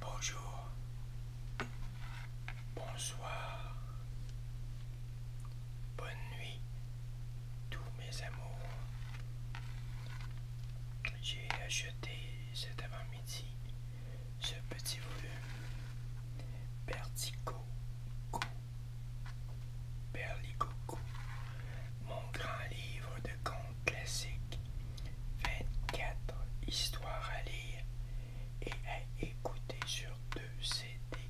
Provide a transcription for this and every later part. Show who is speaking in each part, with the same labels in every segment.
Speaker 1: Bonjour. Bonsoir. Bonne nuit, tous mes amours. J'ai acheté cet avant-midi ce petit volume Vertigo Berlicoco, mon grand livre de contes classiques, 24 histoires à lire et à écouter sur deux CD.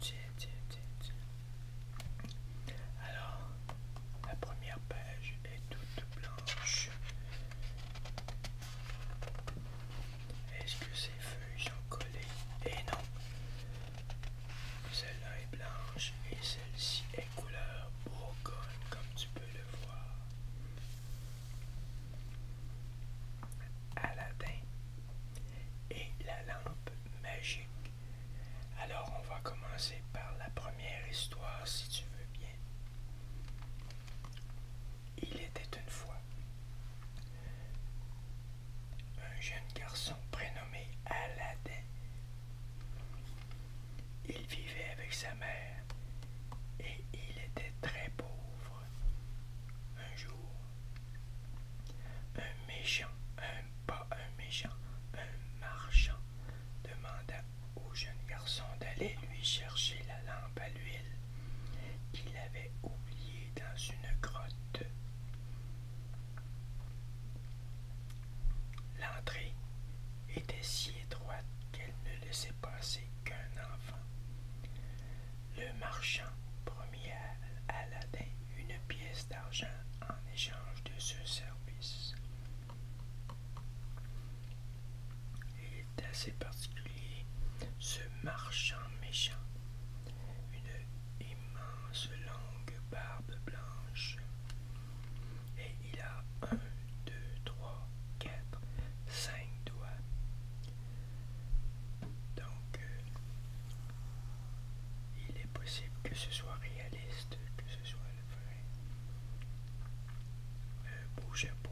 Speaker 1: Tiens, tiens, tiens, tiens. Alors, la première page est toute blanche. Est-ce que ces feuilles sont collées Et eh non. Celle-là est blanche et celle-ci est couleur brocone, comme tu peux le voir. Aladdin et la lampe magique. Alors on va commencer par la première histoire si tu veux bien. Il était une fois un jeune garçon prénommé Aladdin. Il vivait avec sa mère et il était très pauvre. Un jour, un méchant, un pas un méchant, un marchand demanda au jeune garçon d'aller lui chercher la lampe à l'huile qu'il avait oubliée dans une grotte. L'entrée était si étroite qu'elle ne laissait passer qu'un enfant. Le marchand premier à Aladdin une pièce d'argent en échange de ce service. Il est assez particulier. Ce marchand méchant, une immense longue barbe blanche. Et il a un, deux, trois, quatre, cinq doigts. Donc, euh, il est possible que ce soit réaliste, que ce soit le vrai. Euh,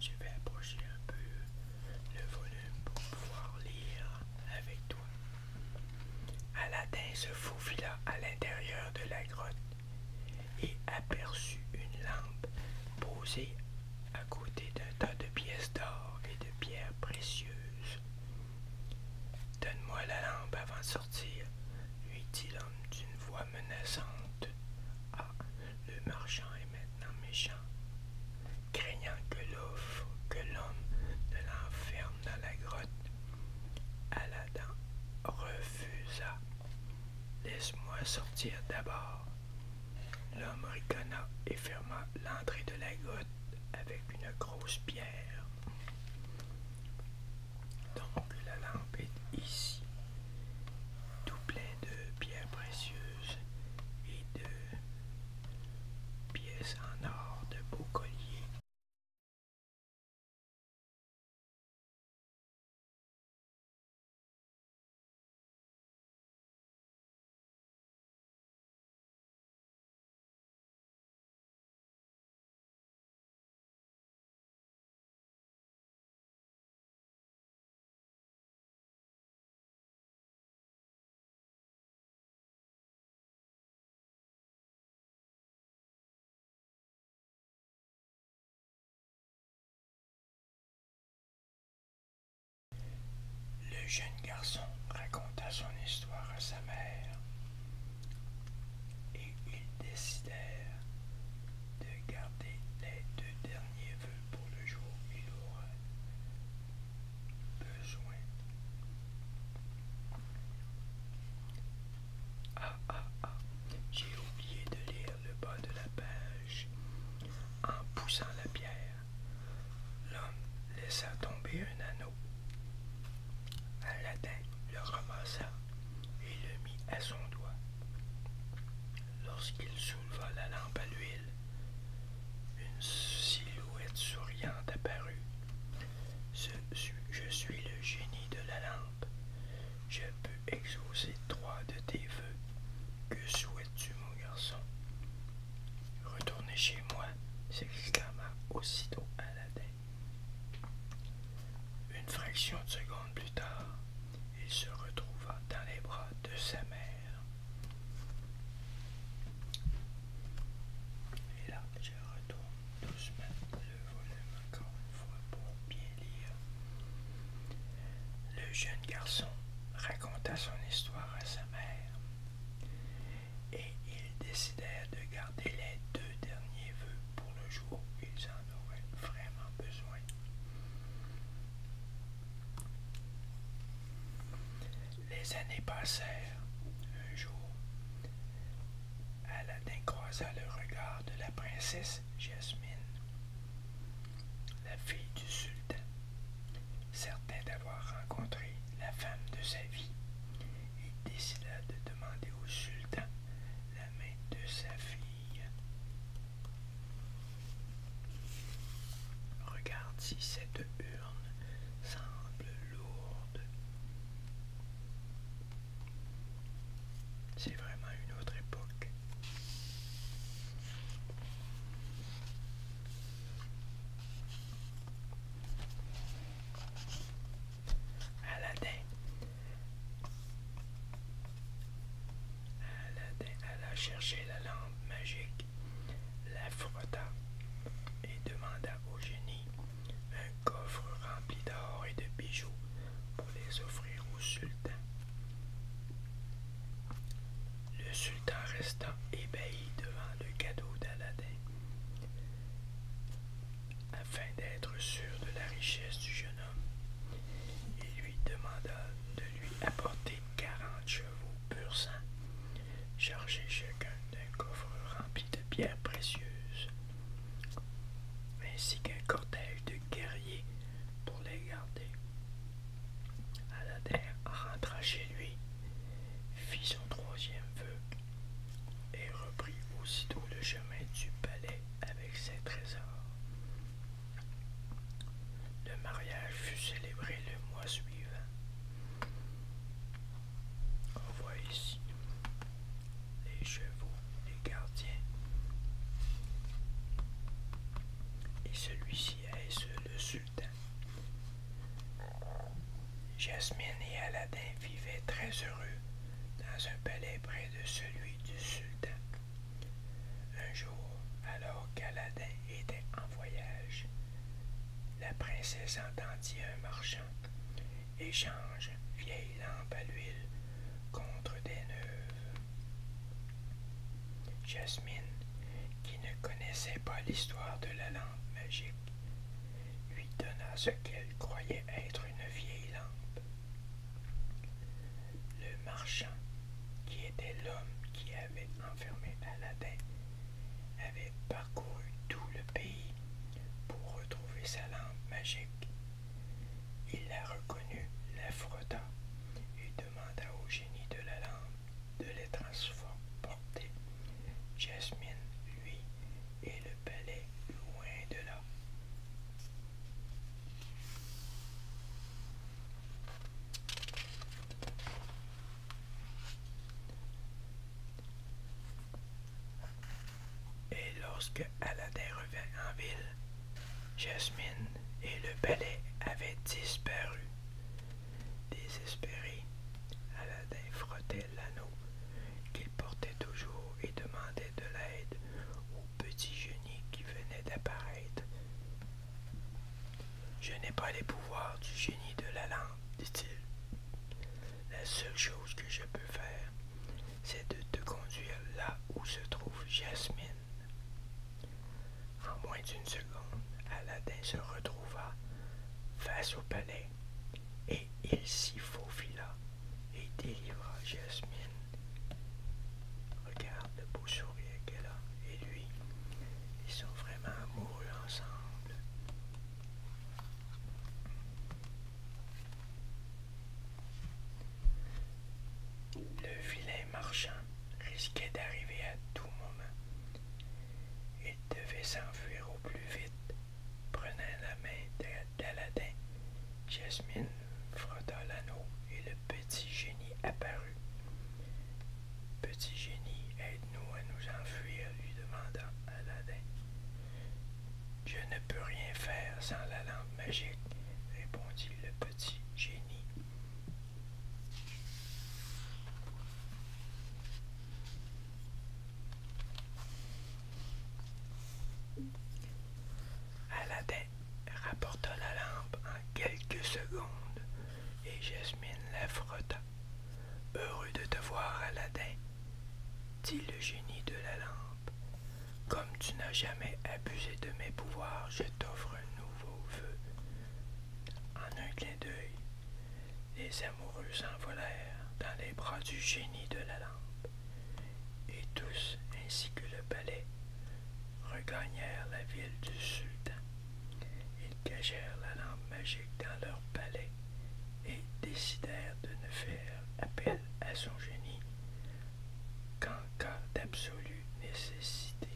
Speaker 1: Je vais approcher un peu le volume pour pouvoir lire avec toi. Aladdin se faufila à l'intérieur de la grotte et aperçut une lampe posée à côté d'un tas de pièces d'or et de pierres précieuses. Donne-moi la lampe avant de sortir, lui dit l'homme d'une voix menaçante. Ah, le marchand est maintenant méchant, craignant que l'offre que l'homme ne l'enferme dans la grotte. Aladdin refusa. Laisse-moi sortir d'abord. L'homme ricana et ferma l'entrée de la grotte avec une grosse pierre. Donc la lampe est ici, tout plein de pierres précieuses et de pièces en or de beaux colliers. Le jeune garçon raconta son histoire à sa mère et ils décidèrent de garder les deux derniers vœux pour le jour où il aura besoin. Ah ah ah, j'ai oublié de lire le bas de la page. En poussant la pierre, l'homme laissa tomber un anneau. Aladdin le ramassa et le mit à son doigt. Lorsqu'il souleva la lampe à l'huile, une silhouette souriante apparut. je suis le génie de la lampe. Je peux exaucer trois de tes vœux. Que souhaites-tu, mon garçon Retournez chez moi, s'exclama aussitôt Aladdin. Une fraction de seconde plus tard, il se retrouva dans les bras de sa mère. Et là, je retourne doucement le volume encore une fois pour bien lire. Le jeune garçon raconta son histoire à sa mère et ils décidèrent de garder les deux derniers vœux pour le jour où ils en auraient vraiment besoin. Les années passèrent. Un jour, Aladdin croisa le regard de la princesse Jasmine, la fille du sultan. Certain d'avoir rencontré la femme de sa vie, il décida de Demandez au sultan la main de sa fille. Regarde si cette urne semble lourde. C'est vraiment une autre époque. Aladdin. Aladdin alla chercher la lampe magique, la frotta et demanda au génie un coffre rempli d'or et de bijoux pour les offrir au sultan. Le sultan resta ébahi devant le cadeau d'Aladin. Afin d'être sûr de la richesse du jeune homme, il lui demanda de lui apporter quarante chevaux pur sang, chargés chacun d'un coffre rempli de pierres précieuses, ainsi qu'un cortège de guerriers pour les garder. Aladdin rentra chez lui fit son troisième vœu et reprit aussitôt le chemin du palais avec ses trésors. Le mariage fut célébré le mois suivant. On voit ici les chevaux, les gardiens. Et celui-ci est le sultan. Jasmine et Aladdin vivaient très heureux dans un palais près de celui du sultan. Un jour, alors qu'Aladin était en voyage, la princesse entendit un marchand échange vieille lampe à l'huile contre des neuves. Jasmine, qui ne connaissait pas l'histoire de la lampe magique, lui donna ce qu'elle croyait être une vieille lampe. Le marchand, qui était l'homme qui avait enfermé Aladdin, avait parcouru tout le pays pour retrouver sa lampe magique. Il la reconnut, la et demanda au génie de la lampe de les transporter. Jasmine, lui, et le palais loin de là. Et lorsque Aladdin revint en ville, Jasmine et le palais avaient disparu. Désespéré, Aladdin frottait l'anneau qu'il portait toujours et demandait de l'aide au petit génie qui venait d'apparaître. Je n'ai pas les pouvoirs du génie de la lampe, dit-il. La seule chose que je peux faire, c'est de te conduire là où se trouve Jasmine. En moins d'une seconde, Aladdin se retrouva face au palais et il s'y faufila et délivra Jasmine. Regarde le beau sourire qu'elle a et lui. Ils sont vraiment amoureux ensemble. Le vilain marchand risquait d'arriver à tout moment. Il devait s'enfuir au plus vite. Prenant la main d'Aladin, Jasmine frotta l'anneau et le petit génie apparut. Petit génie, aide-nous à nous enfuir, lui demanda Aladin. Je ne peux rien faire sans la lampe magique, répondit le petit génie. Aladdin rapporta la lampe en quelques secondes et Jasmine la frotta. Heureux de te voir, Aladdin, dit le génie de la lampe. Comme tu n'as jamais abusé de mes pouvoirs, je t'offre un nouveau vœu. En un clin d'œil, les amoureux s'envolèrent dans les bras du génie de la lampe, et tous, ainsi que le palais, regagnèrent la ville du sultan. Ils cachèrent la lampe magique dans leur palais et décidèrent de ne faire appel à son génie qu'en cas d'absolue nécessité.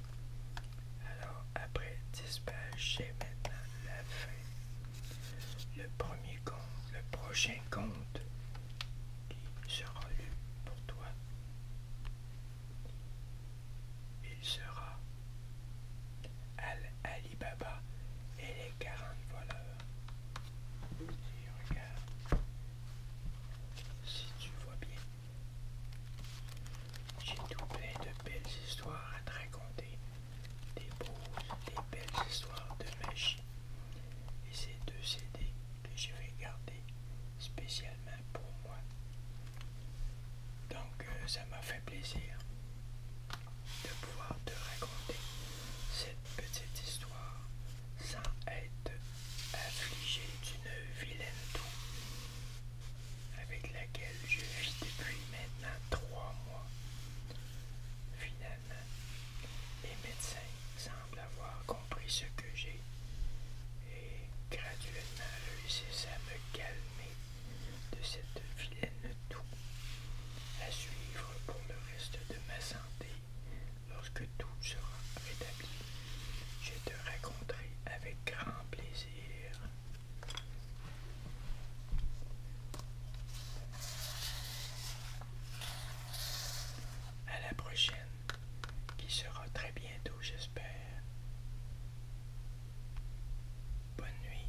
Speaker 1: Alors, après 10 maintenant la fin. Le premier compte, le prochain compte, qui sera lu pour toi, il sera al alibaba et les 40 voleurs. Si regardes, si tu vois bien. J'ai tout plein de belles histoires à te raconter, des beaux, des belles histoires de magie. Et ces deux CD que je vais garder spécialement pour moi. Donc euh, ça m'a fait plaisir de pouvoir te raconter cette petite histoire sans être affligé d'une vilaine douleur avec laquelle je vis depuis maintenant trois mois. Finalement, les médecins semblent avoir compris ce que j'ai et graduellement réussissent à me calmer de cette vilaine tout, à suivre pour le reste de ma santé lorsque tout sera rétabli. Je te raconterai avec grand plaisir. À la prochaine, qui sera très bientôt, j'espère. Bonne nuit.